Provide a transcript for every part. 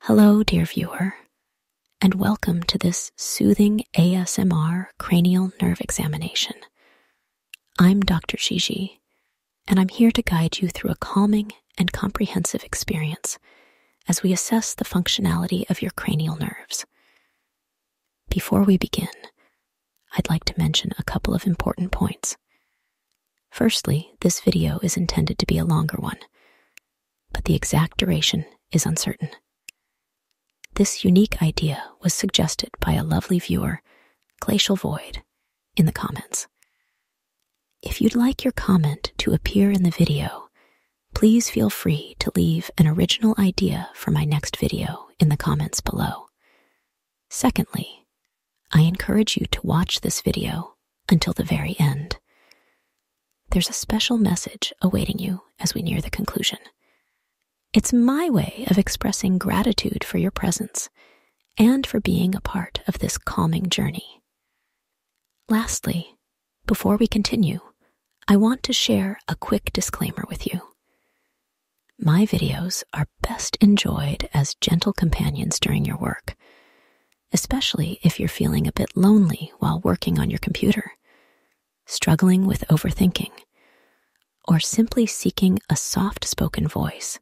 Hello, dear viewer, and welcome to this soothing ASMR cranial nerve examination. I'm Dr. Shiji, and I'm here to guide you through a calming and comprehensive experience as we assess the functionality of your cranial nerves. Before we begin, I'd like to mention a couple of important points. Firstly, this video is intended to be a longer one, but the exact duration is uncertain. This unique idea was suggested by a lovely viewer, Glacial Void, in the comments. If you'd like your comment to appear in the video, please feel free to leave an original idea for my next video in the comments below. Secondly, I encourage you to watch this video until the very end. There's a special message awaiting you as we near the conclusion. It's my way of expressing gratitude for your presence and for being a part of this calming journey. Lastly, before we continue, I want to share a quick disclaimer with you. My videos are best enjoyed as gentle companions during your work especially if you're feeling a bit lonely while working on your computer, struggling with overthinking, or simply seeking a soft spoken voice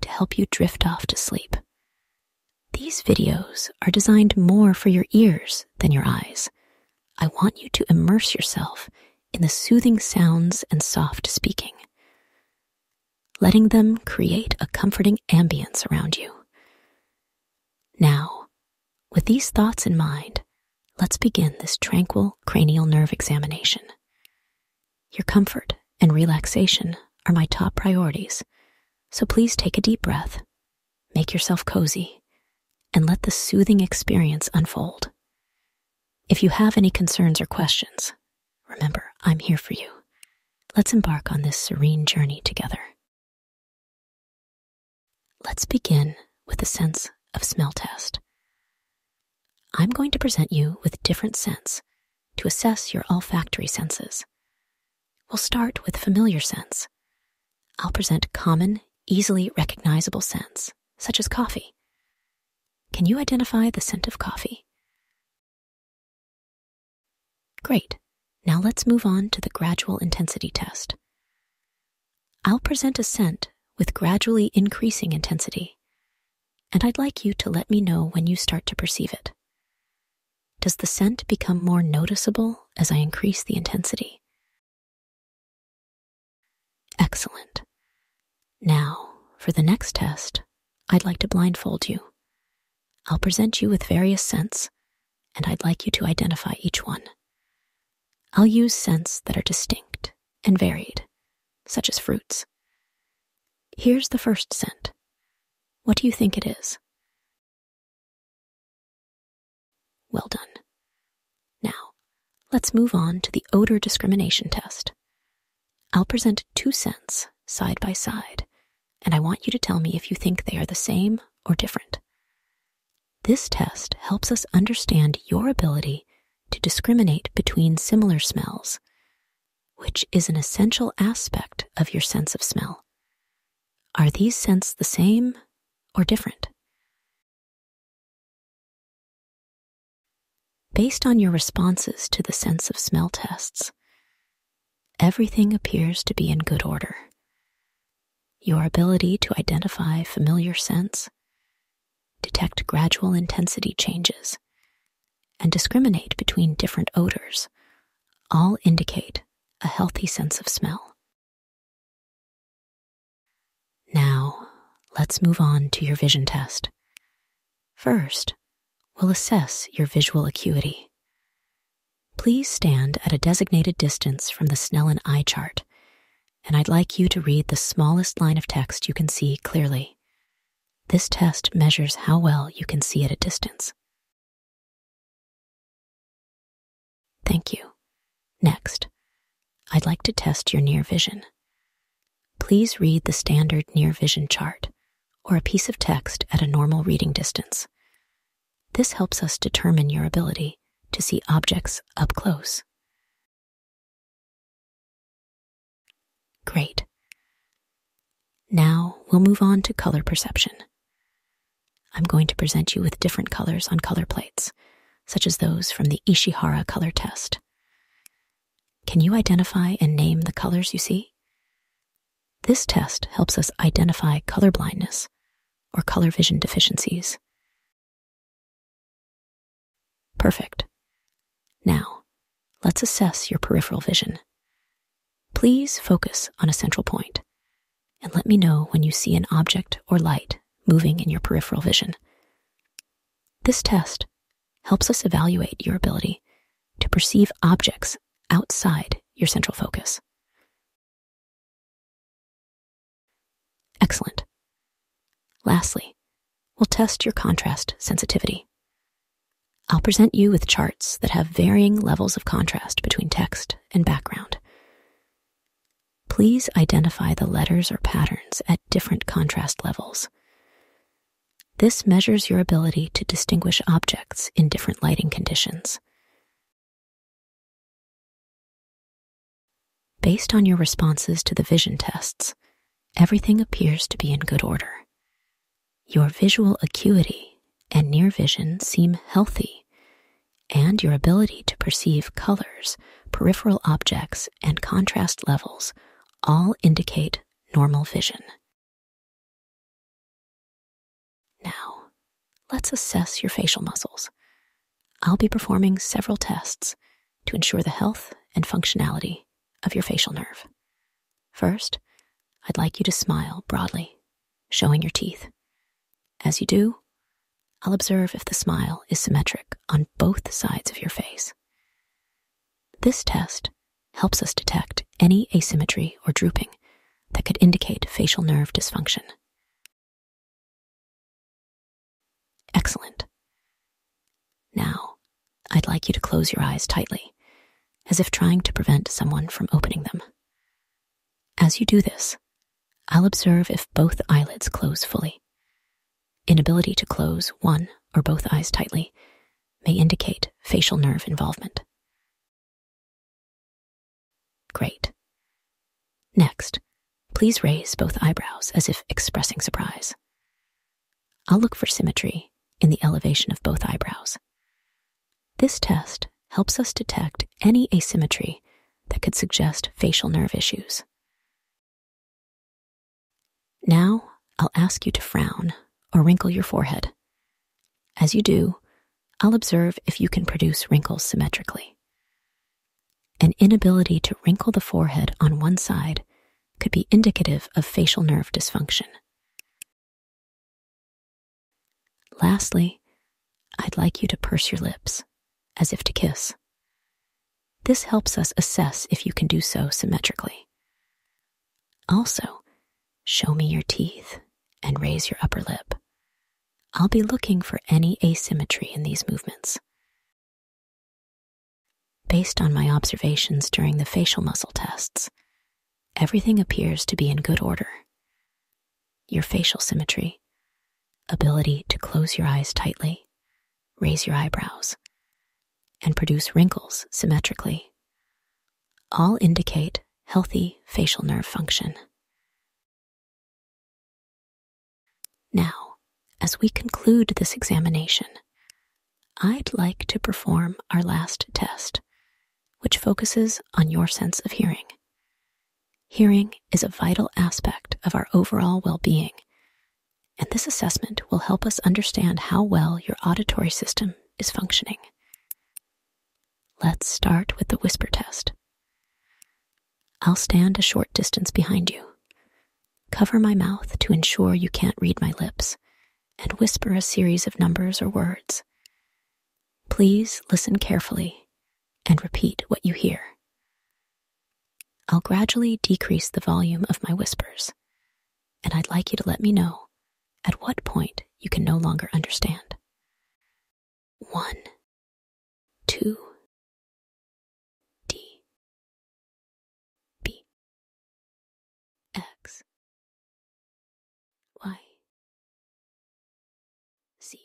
to help you drift off to sleep. These videos are designed more for your ears than your eyes. I want you to immerse yourself in the soothing sounds and soft speaking, letting them create a comforting ambience around you. Now, with these thoughts in mind, let's begin this tranquil cranial nerve examination. Your comfort and relaxation are my top priorities, so please take a deep breath, make yourself cozy, and let the soothing experience unfold. If you have any concerns or questions, remember I'm here for you. Let's embark on this serene journey together. Let's begin with a sense of smell test. I'm going to present you with different scents to assess your olfactory senses. We'll start with familiar scents. I'll present common, easily recognizable scents, such as coffee. Can you identify the scent of coffee? Great. Now let's move on to the gradual intensity test. I'll present a scent with gradually increasing intensity, and I'd like you to let me know when you start to perceive it. Does the scent become more noticeable as I increase the intensity? Excellent. Now, for the next test, I'd like to blindfold you. I'll present you with various scents, and I'd like you to identify each one. I'll use scents that are distinct and varied, such as fruits. Here's the first scent. What do you think it is? Well done. Now, let's move on to the odor discrimination test. I'll present two scents side by side and I want you to tell me if you think they are the same or different. This test helps us understand your ability to discriminate between similar smells, which is an essential aspect of your sense of smell. Are these scents the same or different? Based on your responses to the sense of smell tests, everything appears to be in good order. Your ability to identify familiar scents, detect gradual intensity changes, and discriminate between different odors all indicate a healthy sense of smell. Now, let's move on to your vision test. First, we'll assess your visual acuity. Please stand at a designated distance from the Snellen eye chart, and I'd like you to read the smallest line of text you can see clearly. This test measures how well you can see at a distance. Thank you. Next, I'd like to test your near vision. Please read the standard near vision chart or a piece of text at a normal reading distance. This helps us determine your ability to see objects up close. Great. Now we'll move on to color perception. I'm going to present you with different colors on color plates, such as those from the Ishihara color test. Can you identify and name the colors you see? This test helps us identify color blindness or color vision deficiencies. Perfect. Now, let's assess your peripheral vision. Please focus on a central point and let me know when you see an object or light moving in your peripheral vision. This test helps us evaluate your ability to perceive objects outside your central focus. Excellent. Lastly, we'll test your contrast sensitivity. I'll present you with charts that have varying levels of contrast between text and background. Please identify the letters or patterns at different contrast levels. This measures your ability to distinguish objects in different lighting conditions. Based on your responses to the vision tests, everything appears to be in good order. Your visual acuity and near vision seem healthy, and your ability to perceive colors, peripheral objects, and contrast levels all indicate normal vision. Now, let's assess your facial muscles. I'll be performing several tests to ensure the health and functionality of your facial nerve. First, I'd like you to smile broadly, showing your teeth. As you do, I'll observe if the smile is symmetric on both sides of your face. This test helps us detect any asymmetry or drooping that could indicate facial nerve dysfunction. Excellent. Now, I'd like you to close your eyes tightly, as if trying to prevent someone from opening them. As you do this, I'll observe if both eyelids close fully. Inability to close one or both eyes tightly may indicate facial nerve involvement. Great. Next, please raise both eyebrows as if expressing surprise. I'll look for symmetry in the elevation of both eyebrows. This test helps us detect any asymmetry that could suggest facial nerve issues. Now, I'll ask you to frown or wrinkle your forehead. As you do, I'll observe if you can produce wrinkles symmetrically. An inability to wrinkle the forehead on one side could be indicative of facial nerve dysfunction. Lastly, I'd like you to purse your lips, as if to kiss. This helps us assess if you can do so symmetrically. Also, Show me your teeth and raise your upper lip. I'll be looking for any asymmetry in these movements. Based on my observations during the facial muscle tests, everything appears to be in good order. Your facial symmetry, ability to close your eyes tightly, raise your eyebrows, and produce wrinkles symmetrically all indicate healthy facial nerve function. Now, as we conclude this examination, I'd like to perform our last test, which focuses on your sense of hearing. Hearing is a vital aspect of our overall well being, and this assessment will help us understand how well your auditory system is functioning. Let's start with the whisper test. I'll stand a short distance behind you. Cover my mouth to ensure you can't read my lips, and whisper a series of numbers or words. Please listen carefully and repeat what you hear. I'll gradually decrease the volume of my whispers, and I'd like you to let me know at what point you can no longer understand. One, two, D, B, X, Y, Z,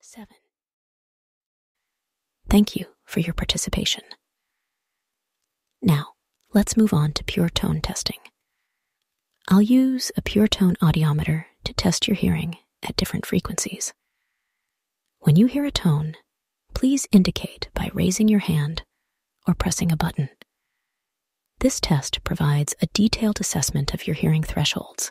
seven. Thank you for your participation. Now, let's move on to pure tone testing. I'll use a pure tone audiometer to test your hearing at different frequencies. When you hear a tone, please indicate by raising your hand or pressing a button. This test provides a detailed assessment of your hearing thresholds.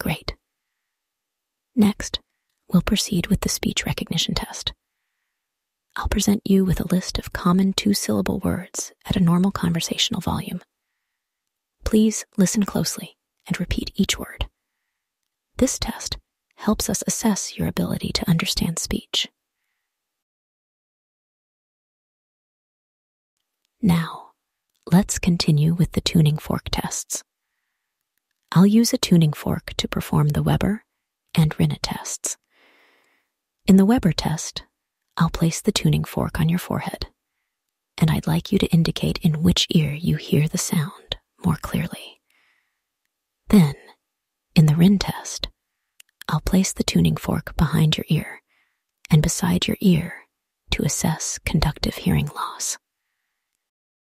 Great. Next, we'll proceed with the speech recognition test. I'll present you with a list of common two syllable words at a normal conversational volume. Please listen closely and repeat each word. This test helps us assess your ability to understand speech. Now, let's continue with the tuning fork tests. I'll use a tuning fork to perform the Weber and Rinna tests. In the Weber test, I'll place the tuning fork on your forehead, and I'd like you to indicate in which ear you hear the sound more clearly. Then, in the Rin test, I'll place the tuning fork behind your ear and beside your ear to assess conductive hearing loss.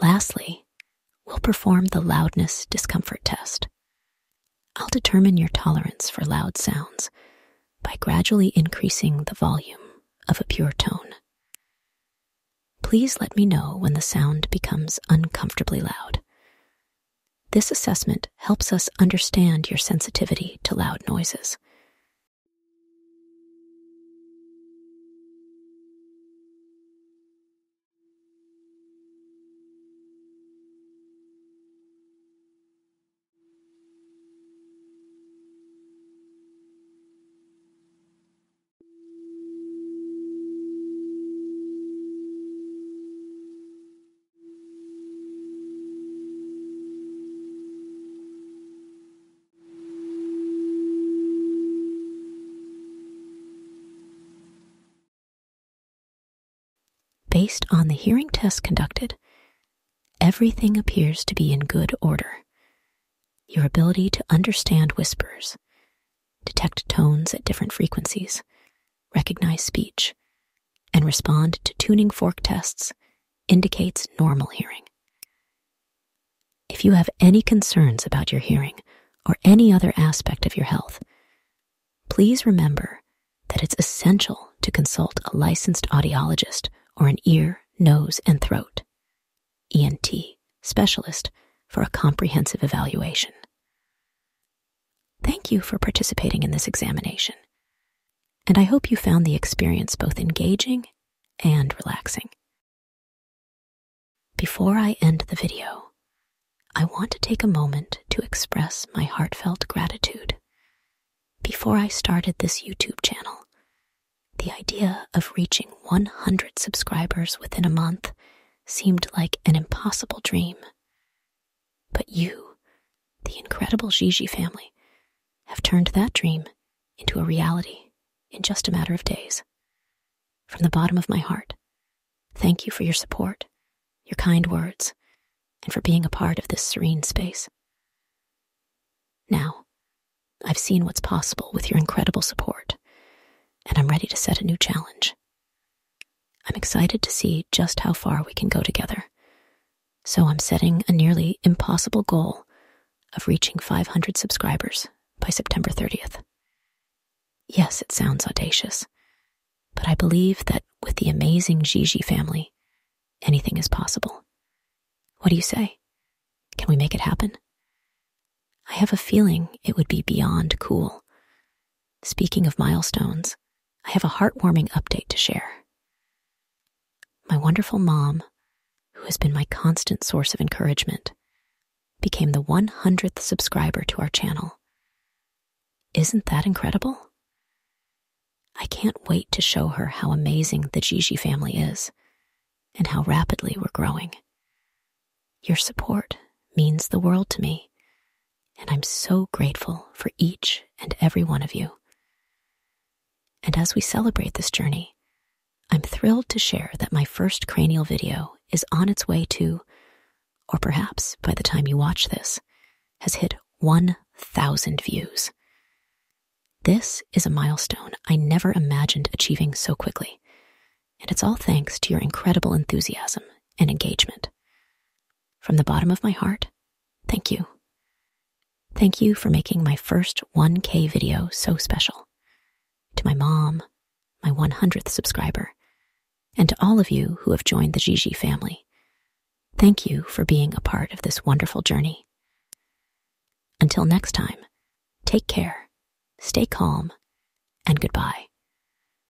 Lastly, we'll perform the loudness discomfort test. I'll determine your tolerance for loud sounds by gradually increasing the volume of a pure tone. Please let me know when the sound becomes uncomfortably loud. This assessment helps us understand your sensitivity to loud noises. Based on the hearing test conducted, everything appears to be in good order. Your ability to understand whispers, detect tones at different frequencies, recognize speech, and respond to tuning fork tests indicates normal hearing. If you have any concerns about your hearing or any other aspect of your health, please remember that it's essential to consult a licensed audiologist or an ear, nose, and throat ENT specialist for a comprehensive evaluation. Thank you for participating in this examination, and I hope you found the experience both engaging and relaxing. Before I end the video, I want to take a moment to express my heartfelt gratitude. Before I started this YouTube channel, the idea of reaching 100 subscribers within a month seemed like an impossible dream. But you, the incredible Gigi family, have turned that dream into a reality in just a matter of days. From the bottom of my heart, thank you for your support, your kind words, and for being a part of this serene space. Now, I've seen what's possible with your incredible support, and I'm ready to set a new challenge. I'm excited to see just how far we can go together. So I'm setting a nearly impossible goal of reaching 500 subscribers by September 30th. Yes, it sounds audacious, but I believe that with the amazing Gigi family, anything is possible. What do you say? Can we make it happen? I have a feeling it would be beyond cool Speaking of milestones, I have a heartwarming update to share. My wonderful mom, who has been my constant source of encouragement, became the 100th subscriber to our channel. Isn't that incredible? I can't wait to show her how amazing the Gigi family is and how rapidly we're growing. Your support means the world to me, and I'm so grateful for each and every one of you. And as we celebrate this journey, I'm thrilled to share that my first cranial video is on its way to, or perhaps by the time you watch this, has hit 1,000 views. This is a milestone I never imagined achieving so quickly, and it's all thanks to your incredible enthusiasm and engagement. From the bottom of my heart, thank you. Thank you for making my first 1K video so special. To my mom, my 100th subscriber, and to all of you who have joined the Gigi family, thank you for being a part of this wonderful journey. Until next time, take care, stay calm, and goodbye.